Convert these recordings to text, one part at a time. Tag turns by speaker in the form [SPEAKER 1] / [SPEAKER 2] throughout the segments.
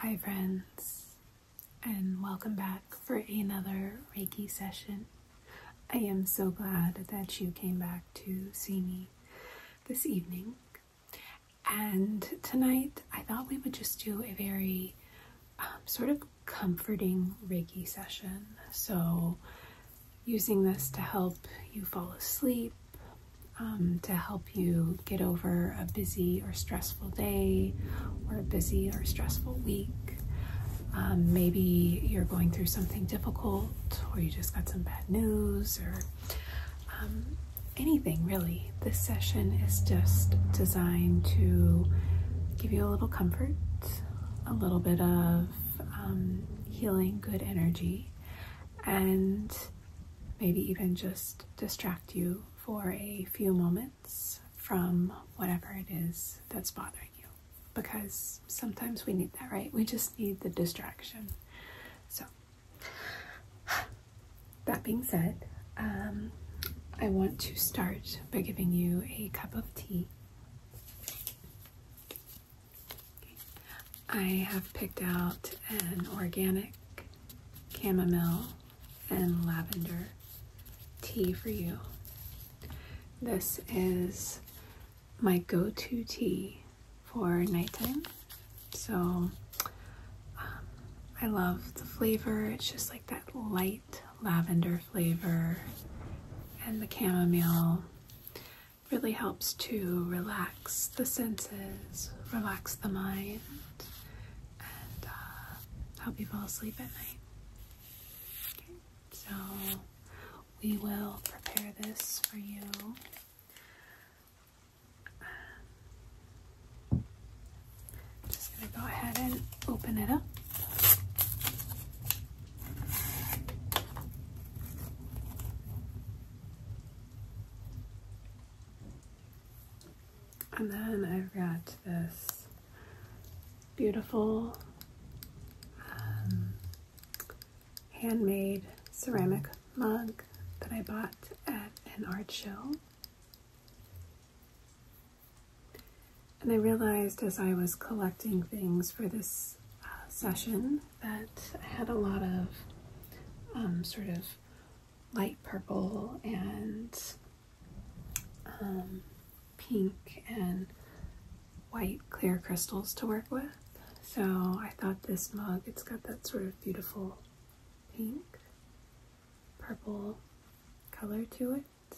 [SPEAKER 1] Hi, friends, and welcome back for another Reiki session. I am so glad that you came back to see me this evening. And tonight I thought we would just do a very um, sort of comforting Reiki session. So, using this to help you fall asleep, um, to help you get over a busy or stressful day or a busy or stressful week. Um, maybe you're going through something difficult or you just got some bad news or um, anything really. This session is just designed to give you a little comfort, a little bit of um, healing, good energy, and maybe even just distract you for a few moments from whatever it is that's bothering you because sometimes we need that, right? We just need the distraction. So, that being said, um, I want to start by giving you a cup of tea. I have picked out an organic chamomile and lavender tea for you. This is my go-to tea for nighttime. So um, I love the flavor. It's just like that light lavender flavor and the chamomile really helps to relax the senses, relax the mind, and uh, help you fall asleep at night. Okay. So we will prepare this for you. just going to go ahead and open it up. And then I've got this beautiful um, handmade ceramic mug that I bought at an art show. And I realized as I was collecting things for this uh, session that I had a lot of um, sort of light purple and um, pink and white clear crystals to work with. So I thought this mug, it's got that sort of beautiful pink, purple color to it.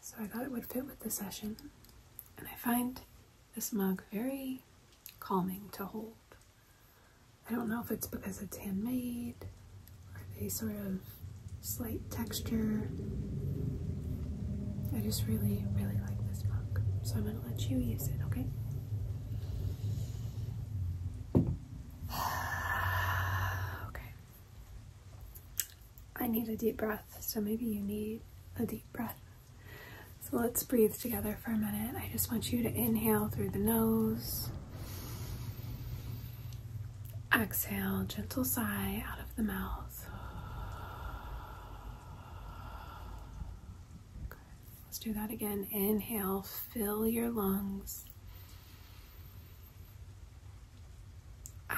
[SPEAKER 1] So I thought it would fit with the session. And I find this mug very calming to hold. I don't know if it's because it's handmade or the sort of slight texture I just really, really like this book, so I'm going to let you use it, okay? okay. I need a deep breath, so maybe you need a deep breath. So let's breathe together for a minute. I just want you to inhale through the nose. Exhale, gentle sigh out of the mouth. Let's do that again. Inhale, fill your lungs.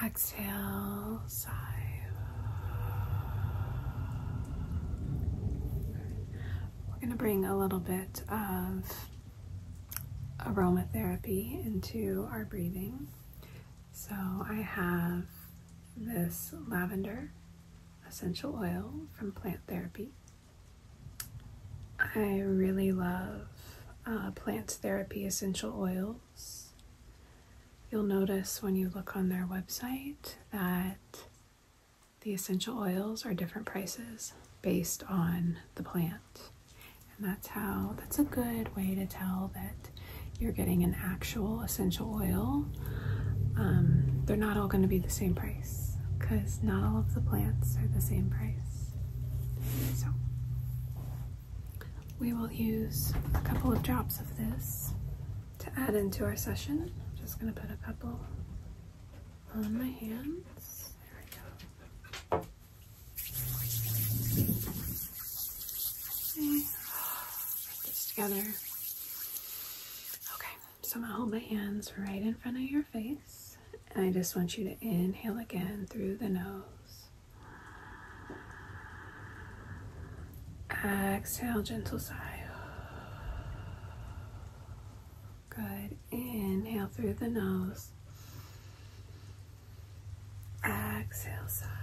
[SPEAKER 1] Exhale, sigh. We're going to bring a little bit of aromatherapy into our breathing. So I have this lavender essential oil from Plant Therapy. I really love uh, Plant Therapy essential oils. You'll notice when you look on their website that the essential oils are different prices based on the plant. And that's how, that's a good way to tell that you're getting an actual essential oil. Um, they're not all going to be the same price because not all of the plants are the same price. So we will use a couple of drops of this to add into our session. I'm just going to put a couple on my hands. There we go. Put this together. Okay, so I'm gonna hold my hands right in front of your face. And I just want you to inhale again through the nose. Exhale, gentle sigh. Good. Inhale through the nose. Exhale, sigh.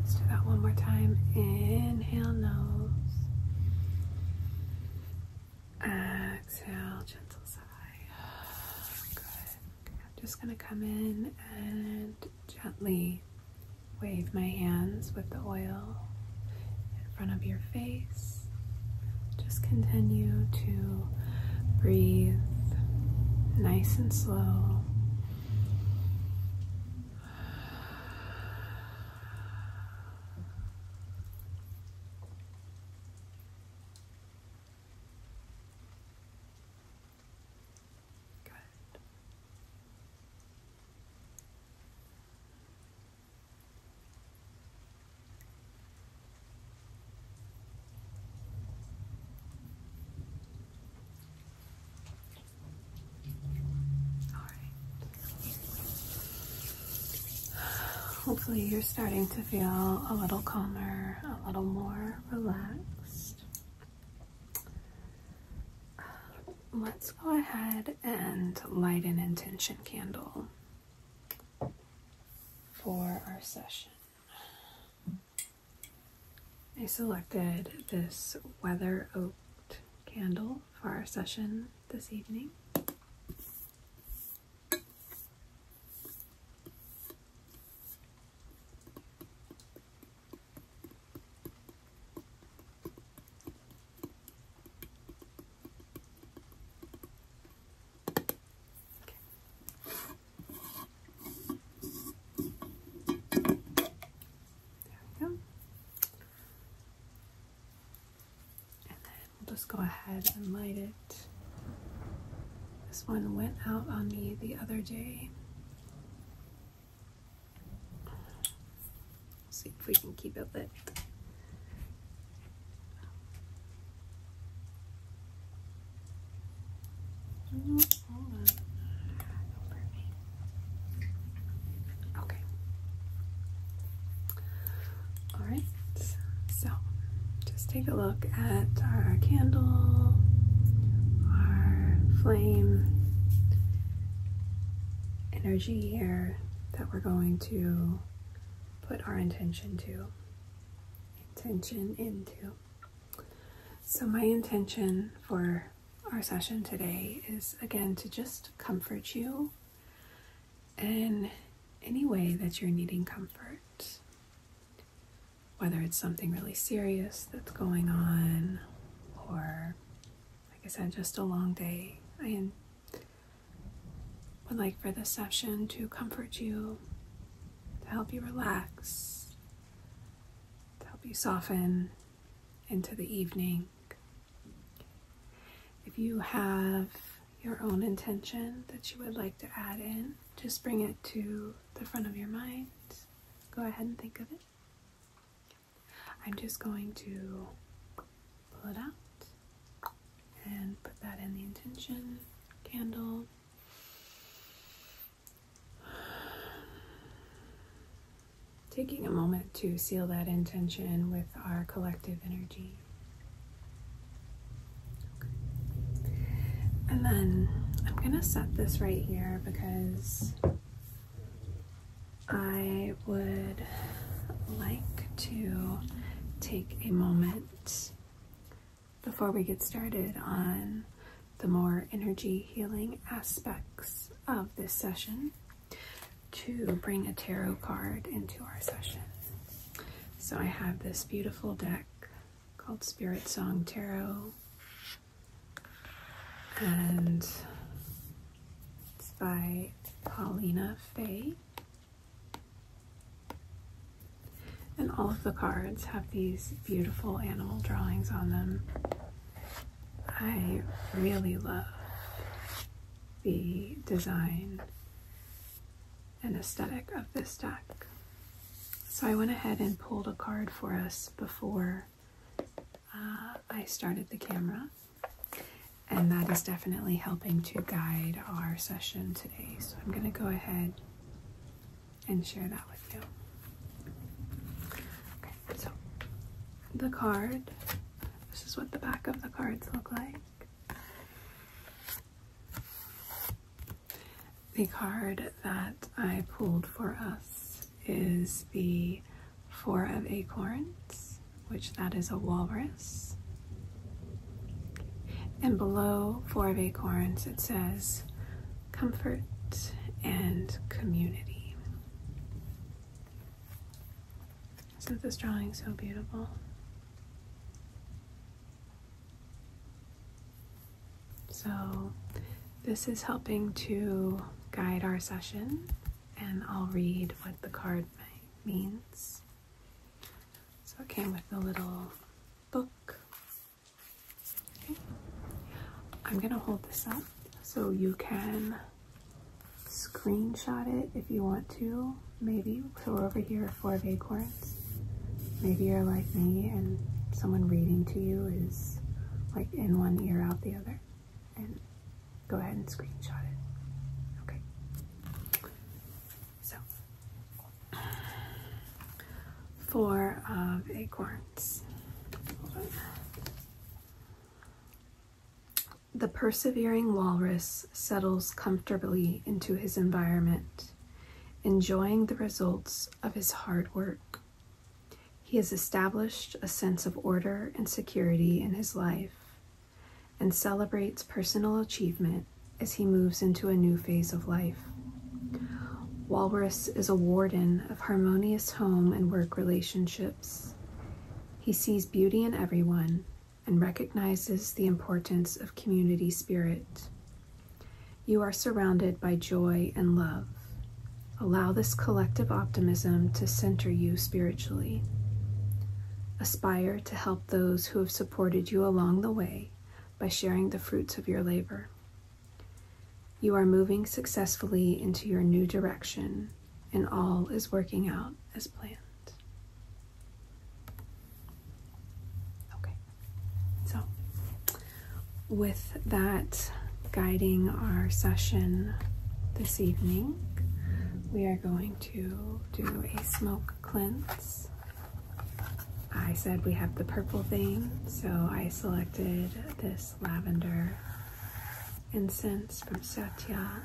[SPEAKER 1] Let's do that one more time. Inhale, nose. Exhale, gentle sigh. Good. I'm just going to come in and gently wave my hands with the oil in front of your face. Just continue to Breathe nice and slow. Good. Hopefully, you're starting to feel a little calmer, a little more relaxed. Um, let's go ahead and light an intention candle for our session. I selected this weather oaked candle for our session this evening. There we go. And then we'll just go ahead and light it. This one went out on me the other day. See if we can keep it lit. Okay. All right. So, just take a look at our candle, our flame energy here that we're going to put our intention to. Intention into. So, my intention for our session today is again to just comfort you in any way that you're needing comfort. Whether it's something really serious that's going on, or like I said, just a long day, I would like for this session to comfort you, to help you relax, to help you soften into the evening. If you have your own intention that you would like to add in, just bring it to the front of your mind. Go ahead and think of it. I'm just going to pull it out and put that in the intention candle. Taking a moment to seal that intention with our collective energy. And then I'm going to set this right here because I would like to take a moment before we get started on the more energy healing aspects of this session to bring a tarot card into our session. So I have this beautiful deck called Spirit Song Tarot and it's by Paulina Fay. And all of the cards have these beautiful animal drawings on them. I really love the design and aesthetic of this deck. So I went ahead and pulled a card for us before uh, I started the camera. And that is definitely helping to guide our session today. So I'm going to go ahead and share that with you. Okay, so the card. This is what the back of the cards look like. The card that I pulled for us is the Four of Acorns, which that is a walrus. And below Four of Acorns, it says, comfort, and community. Isn't this drawing so beautiful? So this is helping to guide our session and I'll read what the card means. So it came with a little book I'm gonna hold this up so you can screenshot it if you want to. Maybe so we're over here for acorns. Maybe you're like me and someone reading to you is like in one ear out the other. And go ahead and screenshot it. Okay. So four of acorns. The persevering walrus settles comfortably into his environment, enjoying the results of his hard work. He has established a sense of order and security in his life and celebrates personal achievement as he moves into a new phase of life. Walrus is a warden of harmonious home and work relationships. He sees beauty in everyone and recognizes the importance of community spirit. You are surrounded by joy and love. Allow this collective optimism to center you spiritually. Aspire to help those who have supported you along the way by sharing the fruits of your labor. You are moving successfully into your new direction, and all is working out as planned. Okay, so with that guiding our session this evening, we are going to do a smoke cleanse. I said we have the purple thing, so I selected this lavender incense from Satya.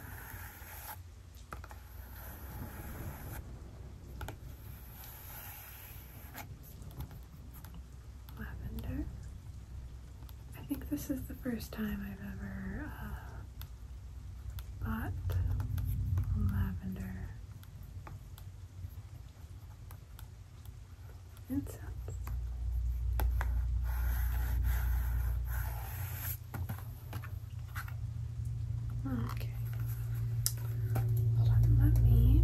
[SPEAKER 1] Lavender. I think this is the first time I've ever uh, bought lavender Incense. Okay. Hold on, let me.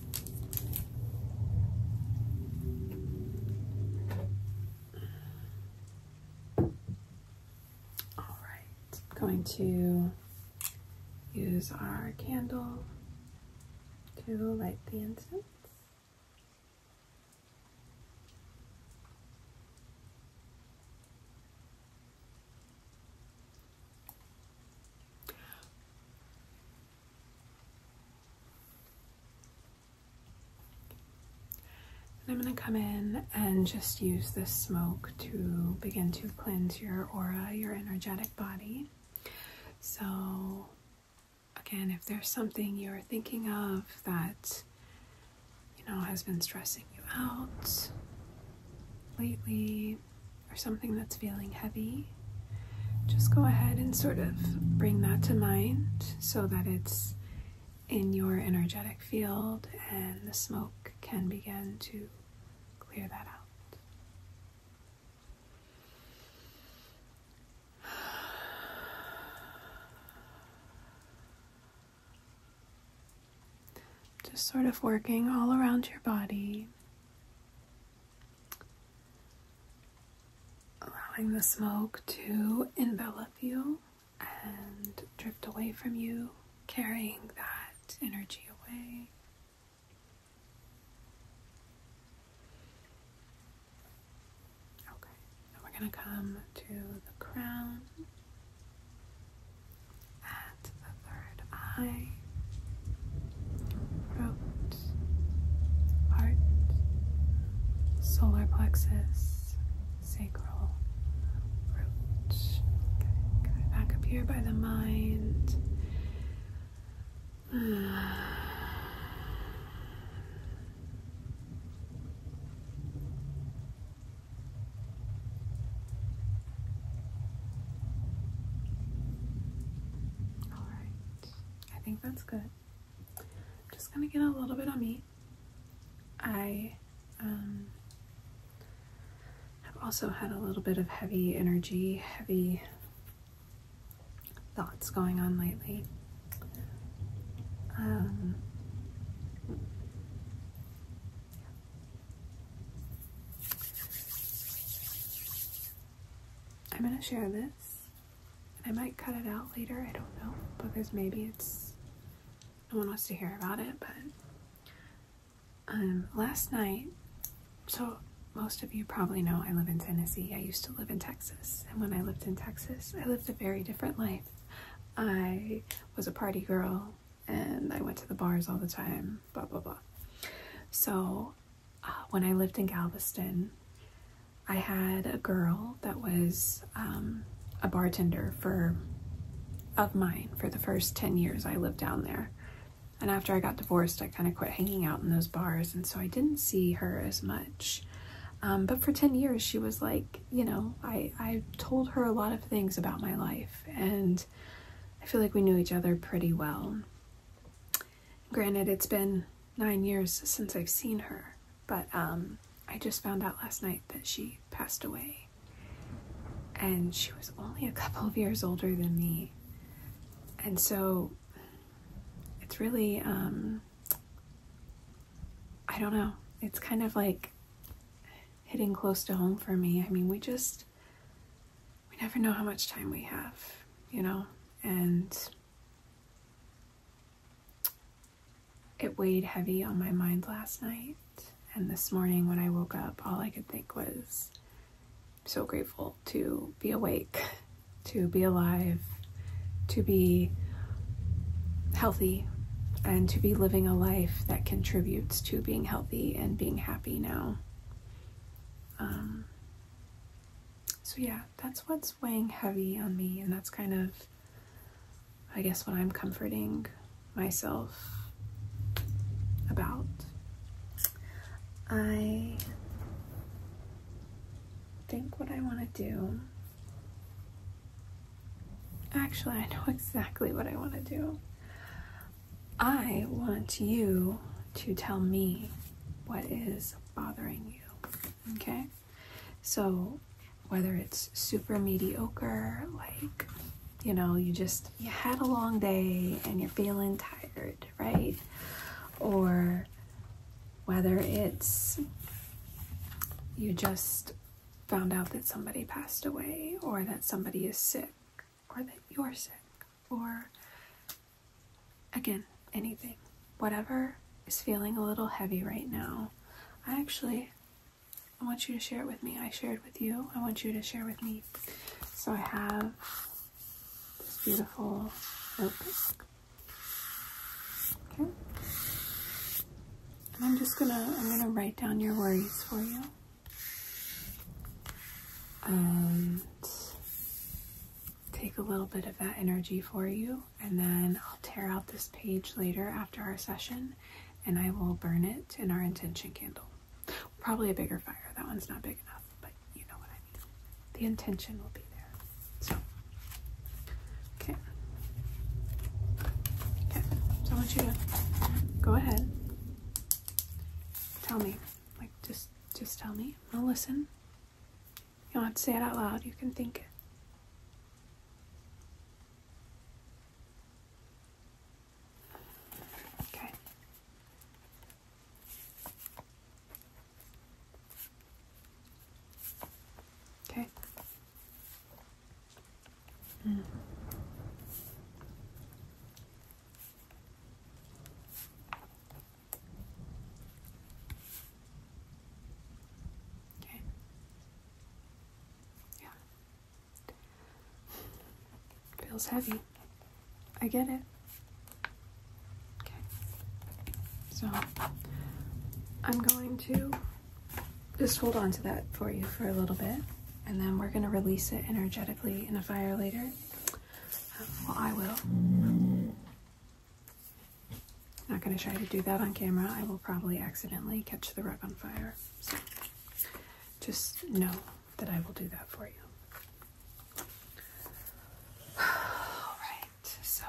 [SPEAKER 1] All right, I'm going to use our candle to light the incense. I'm going to come in and just use this smoke to begin to cleanse your aura, your energetic body. So, again, if there's something you're thinking of that you know has been stressing you out lately, or something that's feeling heavy, just go ahead and sort of bring that to mind so that it's in your energetic field and the smoke can begin to clear that out. Just sort of working all around your body, allowing the smoke to envelop you and drift away from you, carrying that energy away. Okay, now we're going to come to the crown at the third eye throat, heart, solar plexus, sacral, root. Back up here by the mind. All right, I think that's good. I'm just gonna get a little bit on me. I um, have also had a little bit of heavy energy, heavy thoughts going on lately. Um, I'm going to share this and I might cut it out later, I don't know, because maybe it's no one wants to hear about it, but um last night so most of you probably know I live in Tennessee. I used to live in Texas, and when I lived in Texas, I lived a very different life. I was a party girl and I went to the bars all the time, blah blah blah. So uh, when I lived in Galveston, I had a girl that was um, a bartender for of mine for the first 10 years I lived down there. And after I got divorced, I kind of quit hanging out in those bars, and so I didn't see her as much. Um, but for 10 years, she was like, you know, I, I told her a lot of things about my life, and I feel like we knew each other pretty well. Granted, it's been nine years since I've seen her, but um, I just found out last night that she passed away. And she was only a couple of years older than me. And so it's really, um, I don't know, it's kind of like hitting close to home for me. I mean, we just, we never know how much time we have, you know? And it weighed heavy on my mind last night. And this morning when I woke up, all I could think was so grateful to be awake, to be alive, to be healthy, and to be living a life that contributes to being healthy and being happy now. Um, so yeah, that's what's weighing heavy on me, and that's kind of, I guess, what I'm comforting myself about. I think what I want to do. Actually, I know exactly what I want to do. I want you to tell me what is bothering you. Okay? So, whether it's super mediocre, like, you know, you just, you had a long day and you're feeling tired, right? Or whether it's you just found out that somebody passed away or that somebody is sick or that you're sick or Again, anything. Whatever is feeling a little heavy right now, I actually I want you to share it with me. I shared with you. I want you to share with me. So I have this beautiful notebook. Okay. And I'm just gonna I'm gonna write down your worries for you. And take a little bit of that energy for you, and then I'll tear out this page later after our session and I will burn it in our intention candle. Probably a bigger fire, that one's not big enough, but you know what I mean. The intention will be there. So, okay. Okay, so I want you to go ahead. Tell me, like, just, just tell me. I'll listen. You don't have to say it out loud, you can think it. Okay. Okay. Mm. Okay. Yeah. Feels heavy. I get it. Okay. So I'm going to just hold on to that for you for a little bit and then we're going to release it energetically in a fire later. Uh, well, I will. Not going to try to do that on camera. I will probably accidentally catch the rug on fire. So just know that I will do that for you. Alright, so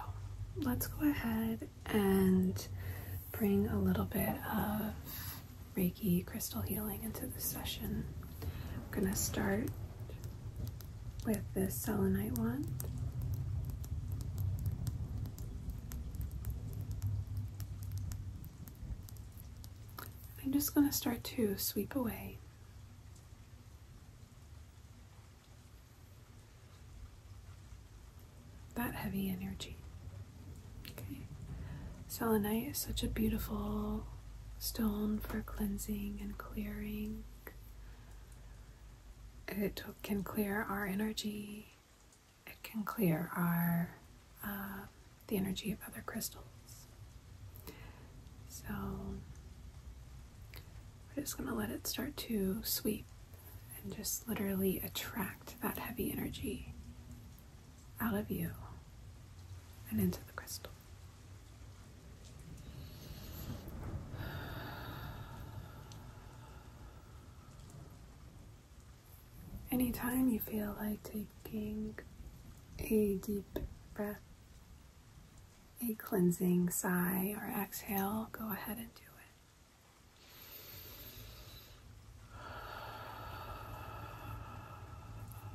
[SPEAKER 1] let's go ahead and bring a little bit of Reiki crystal healing into the session. I'm going to start with this selenite wand. I'm just going to start to sweep away that heavy energy. Okay. Selenite is such a beautiful stone for cleansing and clearing. It can clear our energy. It can clear our uh, the energy of other crystals. So we're just going to let it start to sweep and just literally attract that heavy energy out of you and into the crystal. Anytime you feel like taking a deep breath, a cleansing sigh or exhale, go ahead and do it.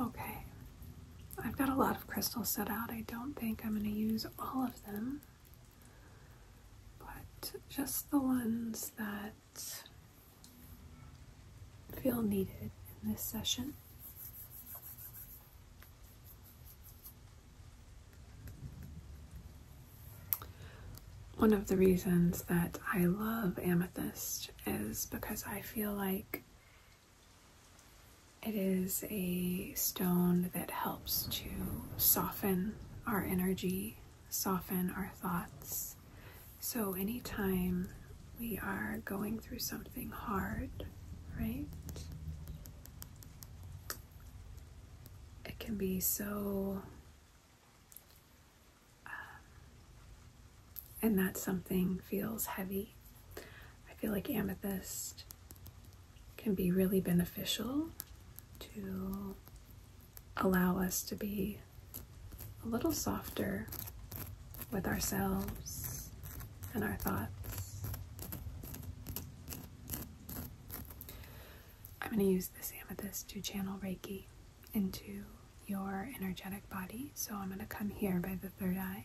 [SPEAKER 1] Okay, I've got a lot of crystals set out. I don't think I'm going to use all of them, but just the ones that feel needed in this session. One of the reasons that I love amethyst is because I feel like it is a stone that helps to soften our energy, soften our thoughts. So, anytime we are going through something hard, right? It can be so um, and that something feels heavy. I feel like amethyst can be really beneficial to allow us to be a little softer with ourselves and our thoughts. I'm going to use this amethyst to channel Reiki into your energetic body. So I'm going to come here by the third eye.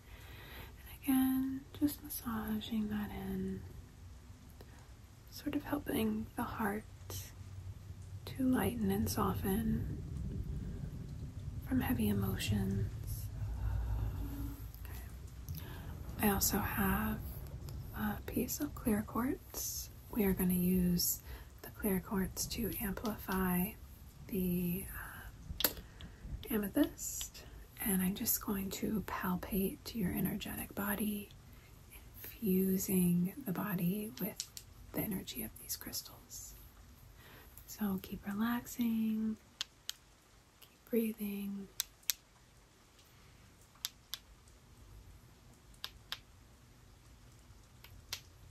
[SPEAKER 1] And again, just massaging that in, sort of helping the heart to lighten and soften from heavy emotions. I also have a piece of clear quartz. We are going to use the clear quartz to amplify the uh, amethyst and I'm just going to palpate your energetic body, infusing the body with the energy of these crystals. So keep relaxing, keep breathing.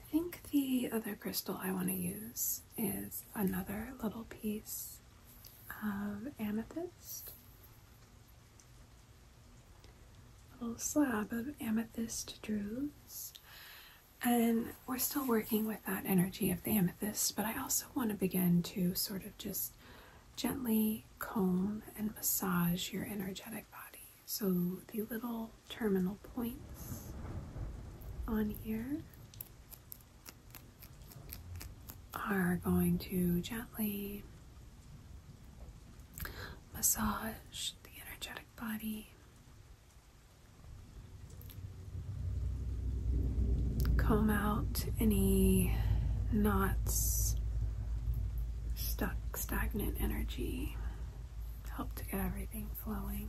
[SPEAKER 1] I think the other crystal I want to use is another little piece of amethyst. A little slab of amethyst druids. And we're still working with that energy of the amethyst, but I also want to begin to sort of just gently comb and massage your energetic body. So the little terminal points on here are going to gently massage the energetic body. Comb out any knots, stuck, stagnant energy. Help to get everything flowing.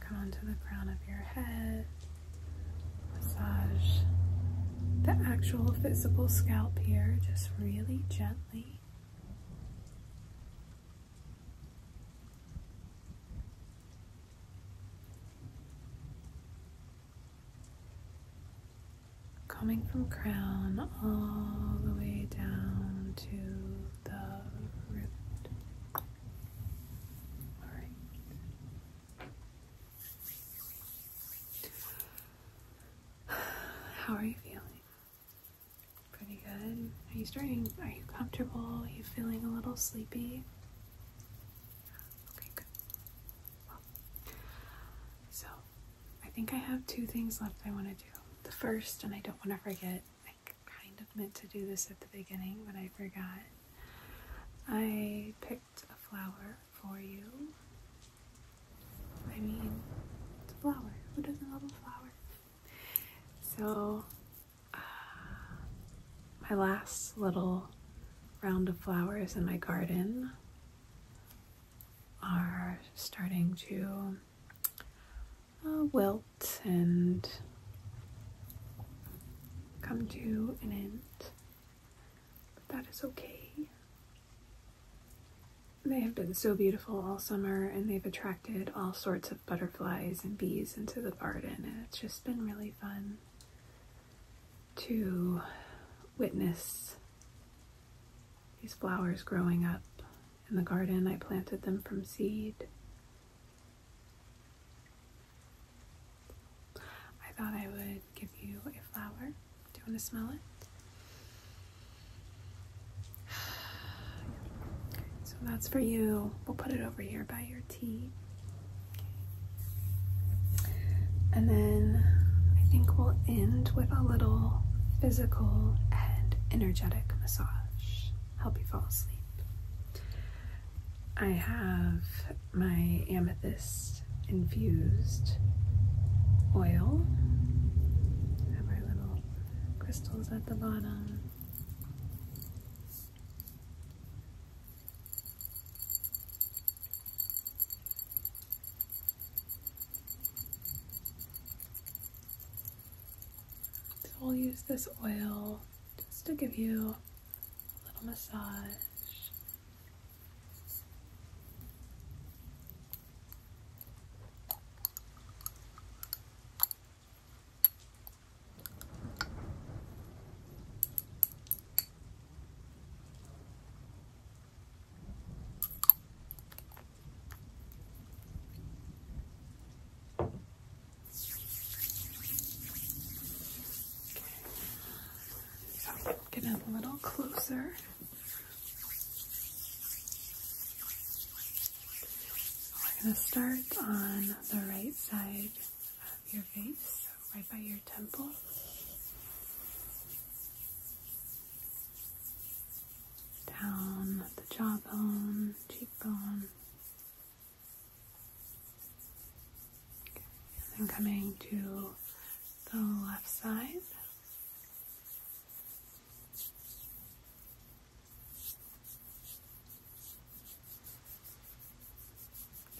[SPEAKER 1] Come onto the crown of your head. Massage the actual physical scalp here, just really gently. Coming from crown all the way down to the root. How are you feeling? Pretty good. Are you starting? Are you comfortable? Are you feeling a little sleepy? Okay, good. so, I think I have two things left I want to do. The first, and I don't want to forget, kind of meant to do this at the beginning, but I forgot. I picked a flower for you. I mean, it's a flower. Who doesn't love a flower? So, uh, my last little round of flowers in my garden are starting to uh, well and come to an end. But that is okay. They have been so beautiful all summer and they've attracted all sorts of butterflies and bees into the garden, it's just been really fun to witness these flowers growing up in the garden. I planted them from seed I thought I would give you a flower. Do you want to smell it? so that's for you. We'll put it over here by your tea. And then I think we'll end with a little physical and energetic massage help you fall asleep. I have my amethyst infused oil. Have our little crystals at the bottom. So i will use this oil just to give you a little massage. So I'm getting a little closer. We're going to start on the right side of your face, right by your temple. Down the jawbone, cheekbone, and then coming to the left side.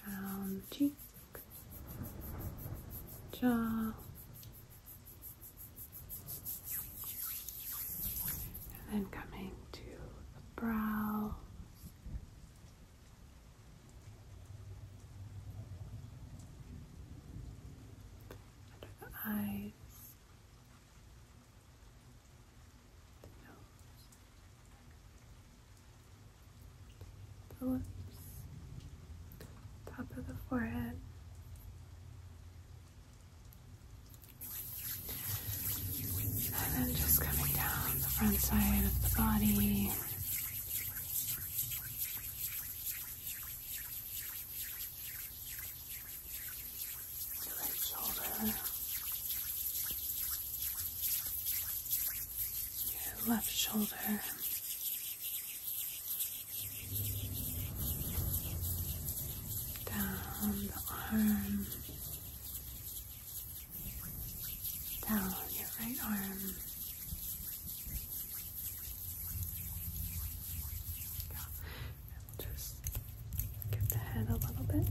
[SPEAKER 1] Down cheek, jaw, and then coming to the brow. Under the eyes. The The lips. Top of the forehead. And then just coming down the front side of the body. The right shoulder. Your left shoulder. Down the arm down your right arm. We'll just give the head a little bit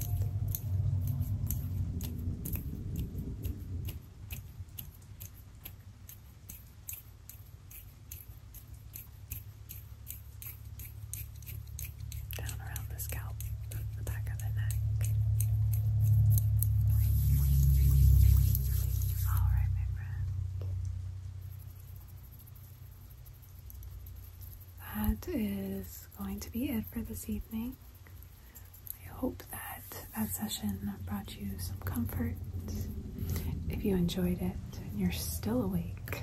[SPEAKER 1] down around the scalp, the back of the neck. All right, my friend. That is going to be it for this evening. I hope that that session brought you some comfort. If you enjoyed it and you're still awake,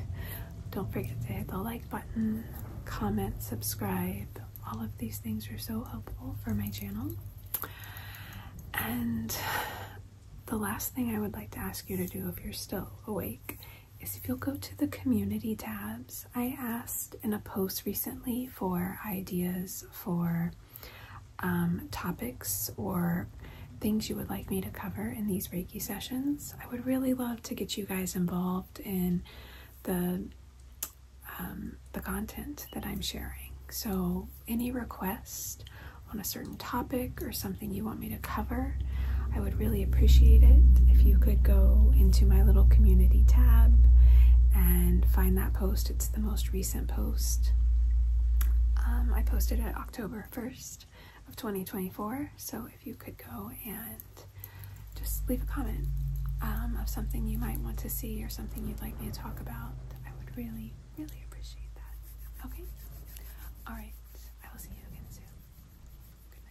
[SPEAKER 1] don't forget to hit the like button, comment, subscribe. All of these things are so helpful for my channel. And the last thing I would like to ask you to do if you're still awake is if you'll go to the community tabs. I asked in a post recently for ideas for um, topics or things you would like me to cover in these sessions. I would really love to get you guys involved in the um, the content that I'm sharing. So any request on a certain topic or something you want me to cover, I would really appreciate it if you could go into my little community tab and find that post. It's the most recent post. Um, I posted it October 1st of 2024. So if you could go and just leave a comment um, of something you might want to see or something you'd like me to talk about, I would really, really appreciate that. Okay? All right. I will see you again soon. Good night.